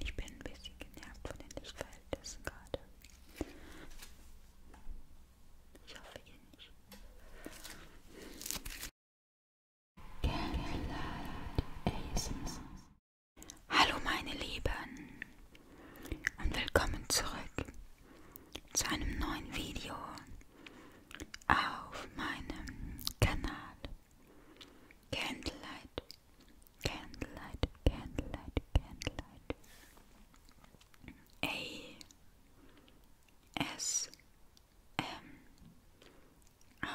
Ich bin ein bisschen genervt von den Lichtverhältnissen gerade. Ich hoffe, ihr nicht. Hallo meine Lieben und willkommen zurück zu einem neuen Video auf meinem Kanal Candlelight Candlelight, Candlelight, Candlelight. A S M R.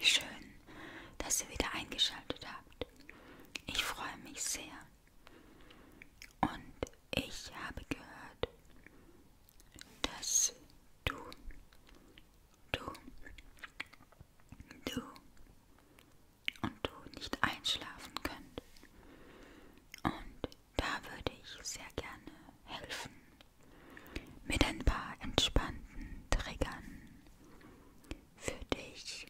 Schön, dass ihr wieder eingeschaltet habt. Ich freue mich sehr. Und ich habe gehört, dass du, du, du und du nicht einschlafen könnt. Und da würde ich sehr gerne helfen mit ein paar entspannten Triggern für dich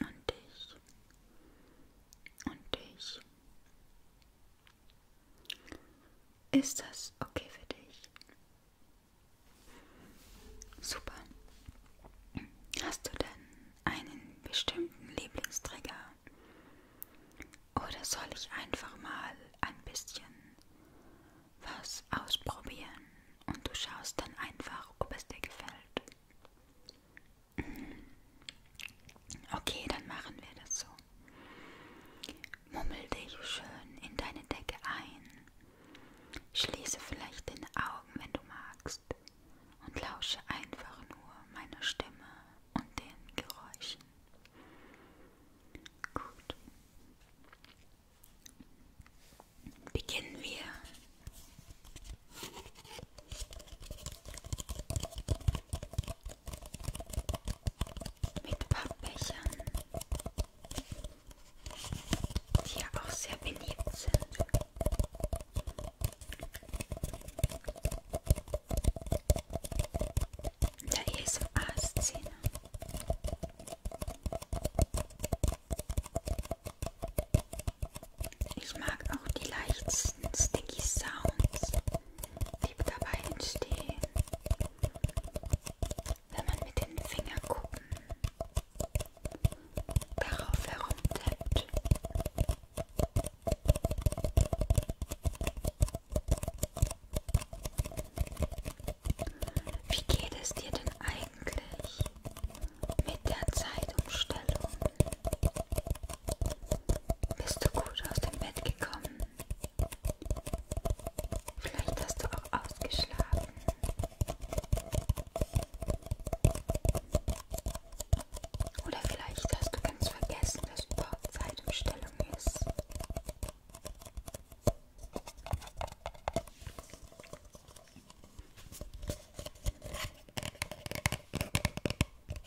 und dich und dich ist das okay für dich? Super. Hast du denn einen bestimmten Lieblingstrigger? Oder soll ich einfach mal ein bisschen was ausprobieren und du schaust dann einfach, ob es dir gefällt? Mhm. Okay, dann machen wir das so. Mummel dich schön in deine Decke ein. Schließe vielleicht deine Augen, wenn du magst, und lausche einfach nur meiner Stimme und den Geräuschen. Gut. Beginnen wir mit Pappbechern, die ja auch sehr beliebt sind. In der ASMR-Szene. Ich mag auch die leichtesten Sticky Sounds blieb dabei entstehen, wenn man mit den Fingerkuppen darauf herumtippt. Wie geht es dir denn eigentlich mit der Zeitumstellung? Bist du gut aus dem Bett gekommen? Vielleicht hast du auch ausgeschlafen. Oder vielleicht hast du ganz vergessen, dass überhaupt Zeitumstellung ist.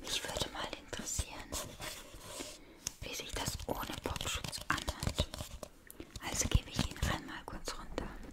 Mich würde mal interessieren, wie sich das ohne Popschutz anhört. Also gebe ich ihn einmal kurz runter.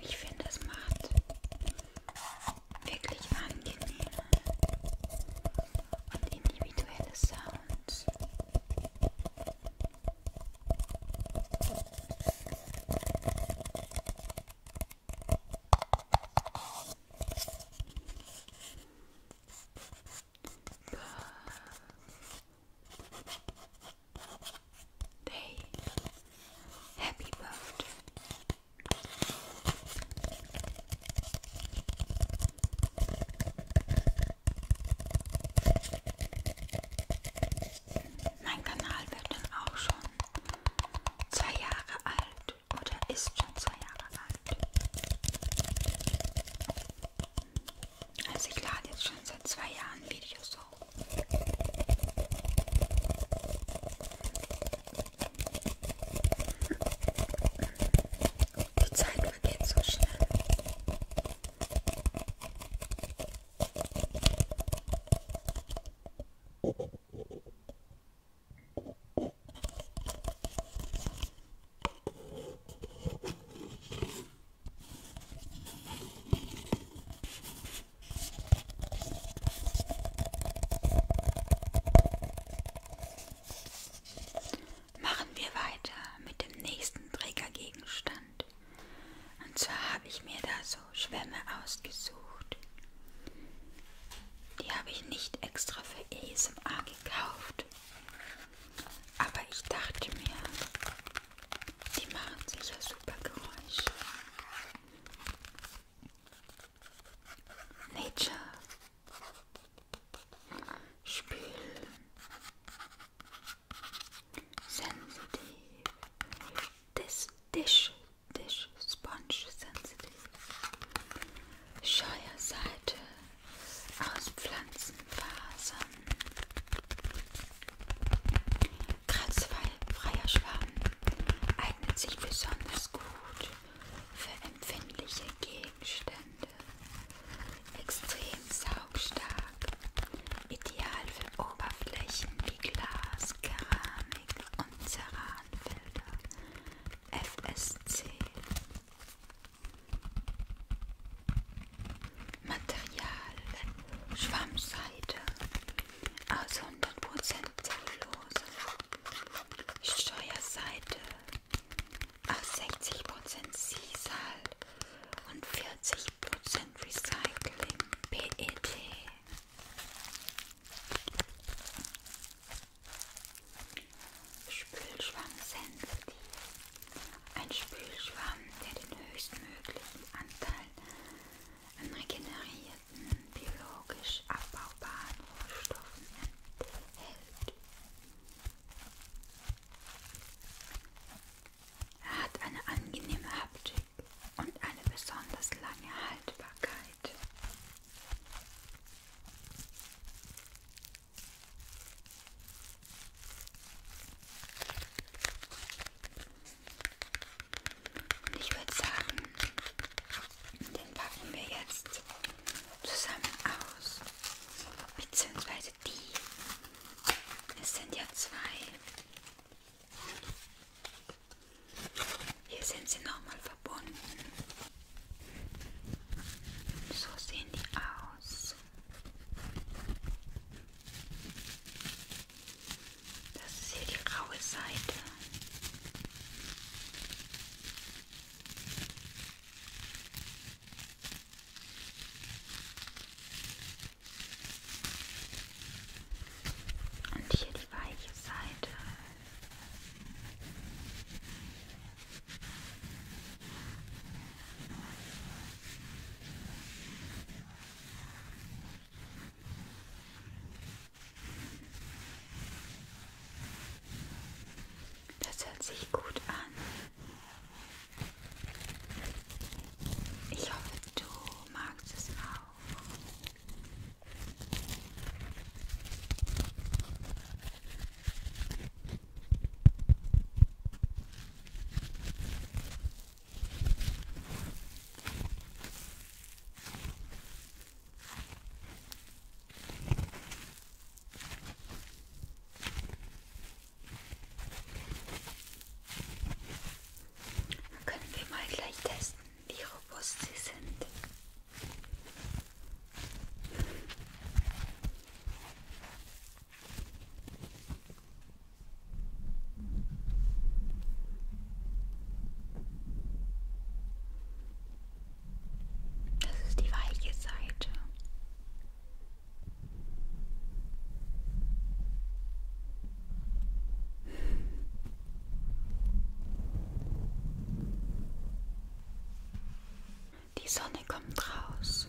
Ich finde, es macht wirklich angenehme und individuelle Sounds. Birthday. Happy Birthday. Mein Kanal wird dann auch schon zwei Jahre alt oder ist schon zwei Jahre alt. Also ich lade jetzt schon seit zwei Jahren Videos hoch. Die Zeit vergeht so schnell. Machen wir weiter mit dem nächsten Trägergegenstand gehabt. Und zwar habe ich mir da so Schwämme ausgesucht. Die habe ich nicht extra für ASMR gekauft. Aber ich dachte mir, die machen sicher super Geräusche. Nature. Spül sensitive. This dish, dish, sponge sensitive. Scheuerseite aus Pflanzenfasern. Kratzfreier Schwamm eignet sich besonders gut für empfindliche Gegenstände. Extrem saugstark, ideal für Oberflächen sowie Glas, Keramik und Ceranfelder FSC Material Schwammseide aus also 100% Zellulose Steuerseite aus 60% Sisal und 40% and Recycling PET. Spülschwamm-Sensitiv. Ein Spülschwamm, der den höchstmöglichen Anteil an regenerierten, biologisch abbaubaren Rohstoffen enthält. Er hat eine angenehme Haptik und eine besonders lange Haltbarkeit. Und ich würde sagen, den packen wir jetzt zusammen aus. Beziehungsweise die. Es sind ja zwei. Hier sind sie nochmal verbunden. So sehen die aus. Das ist hier die raue Seite. Und hier die weiche Seite. Das hört sich gut an. Ich hoffe, du magst es auch. Dann können wir mal gleich testen, wie robust sie sind. Das ist die weiche Seite. Die Sonne kommt raus.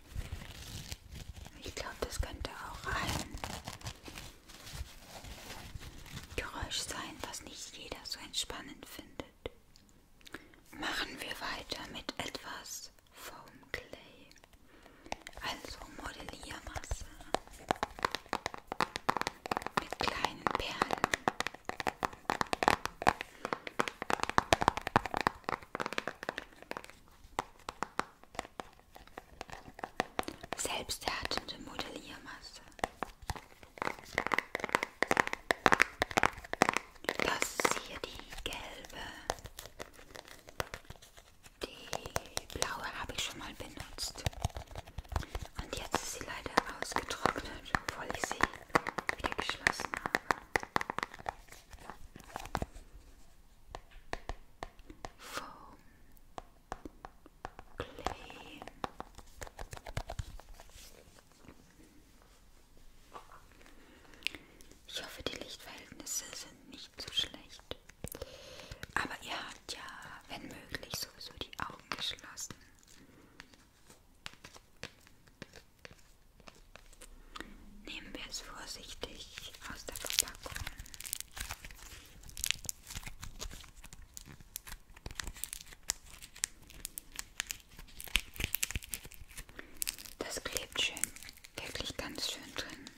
Ich glaube, das könnte auch ein Geräusch sein, was nicht jeder so entspannend findet. Machen wir weiter mit etwas Foam Clay, also Modelliermasse mit kleinen Perlen. Selbsterhaltende Modelliermasse. Das ist hier die gelbe. Die blaue habe ich schon mal benutzt. Und jetzt ist sie leider ausgetrocknet, obwohl ich sie wieder geschlossen habe. Foam, Clay, ich hoffe, die Lichtverhältnisse sind nicht zu so schlecht. Aber ihr habt ja, wenn möglich, sowieso die Augen geschlossen. Nehmen wir es vorsichtig aus der Verpackung. Das klebt schön, wirklich ganz schön drin.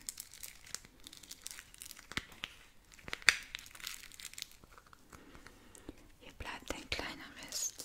Hier bleibt ein kleiner Rest.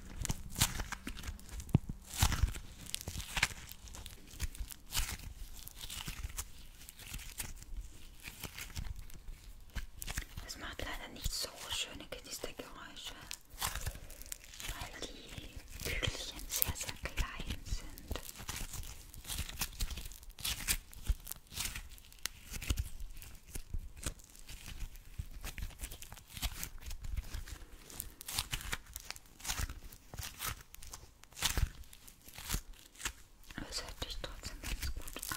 Es macht leider nicht so schöne Knistergeräusche, weil die Kügelchen sehr, sehr klein sind. Aber es hört sich trotzdem ganz gut an.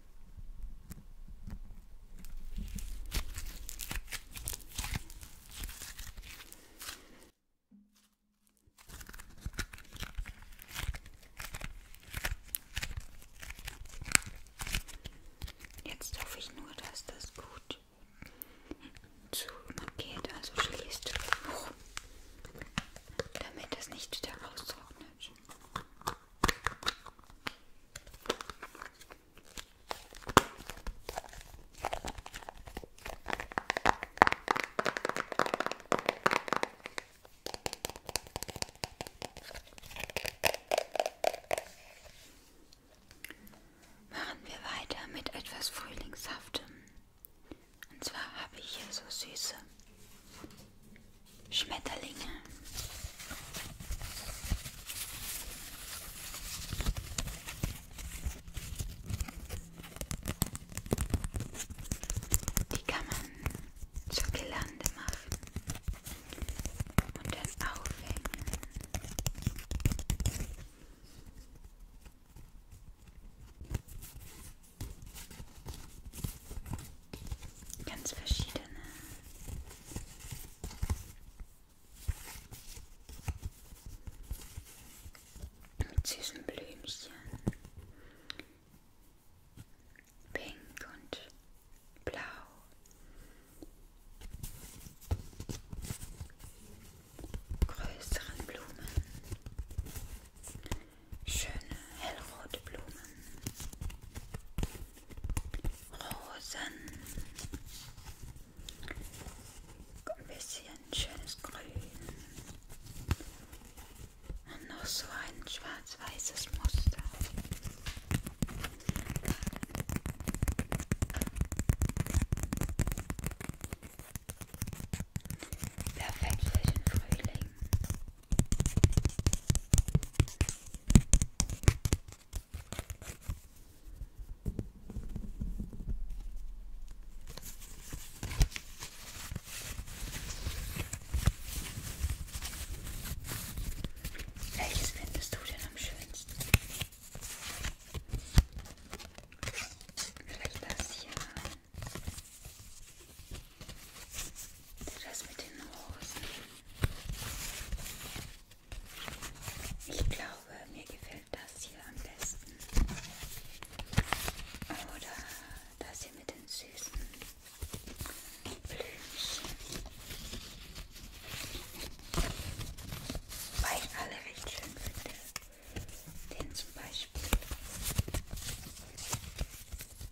Jetzt hoffe ich nur, dass das gut zugeht, also schließt, oh. damit das nicht wieder raustrocknet. Machen wir weiter mit etwas Frühlingshaftem. Und zwar habe ich hier so süße Schmetterlinge. Die kann man zur Gelande machen und dann aufhängen. Ganz verschiedene zwischen Blümchen. Pink und blau. Größeren Blumen. Schöne hellrote Blumen. Rosen. Ein bisschen schönes Grün. Und noch so ein schwarz-weißes Muster. Perfekt für den Frühling. Welches findest du denn am schönsten? Vielleicht das hier. Das mit den Rosen. Ich glaube, mir gefällt das hier am besten. Oder das hier mit den süßen Blümchen. Weil ich alle recht schön finde. Den zum Beispiel.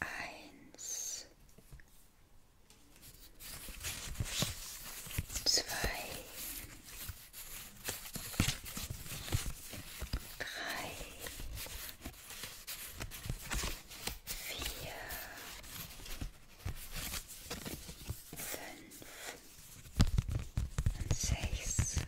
Eins, zwei, drei, vier, fünf und sechs.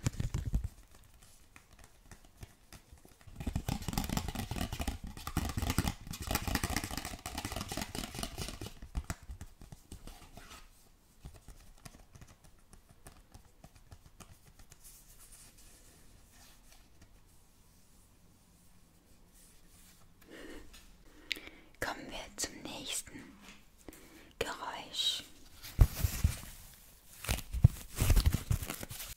Kommen wir zum nächsten Geräusch.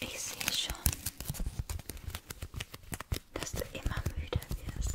Ich sehe schon, dass du immer müde wirst.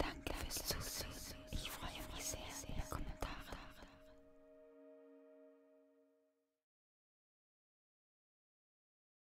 Danke fürs Zusehen. Ich freue mich sehr über Kommentare.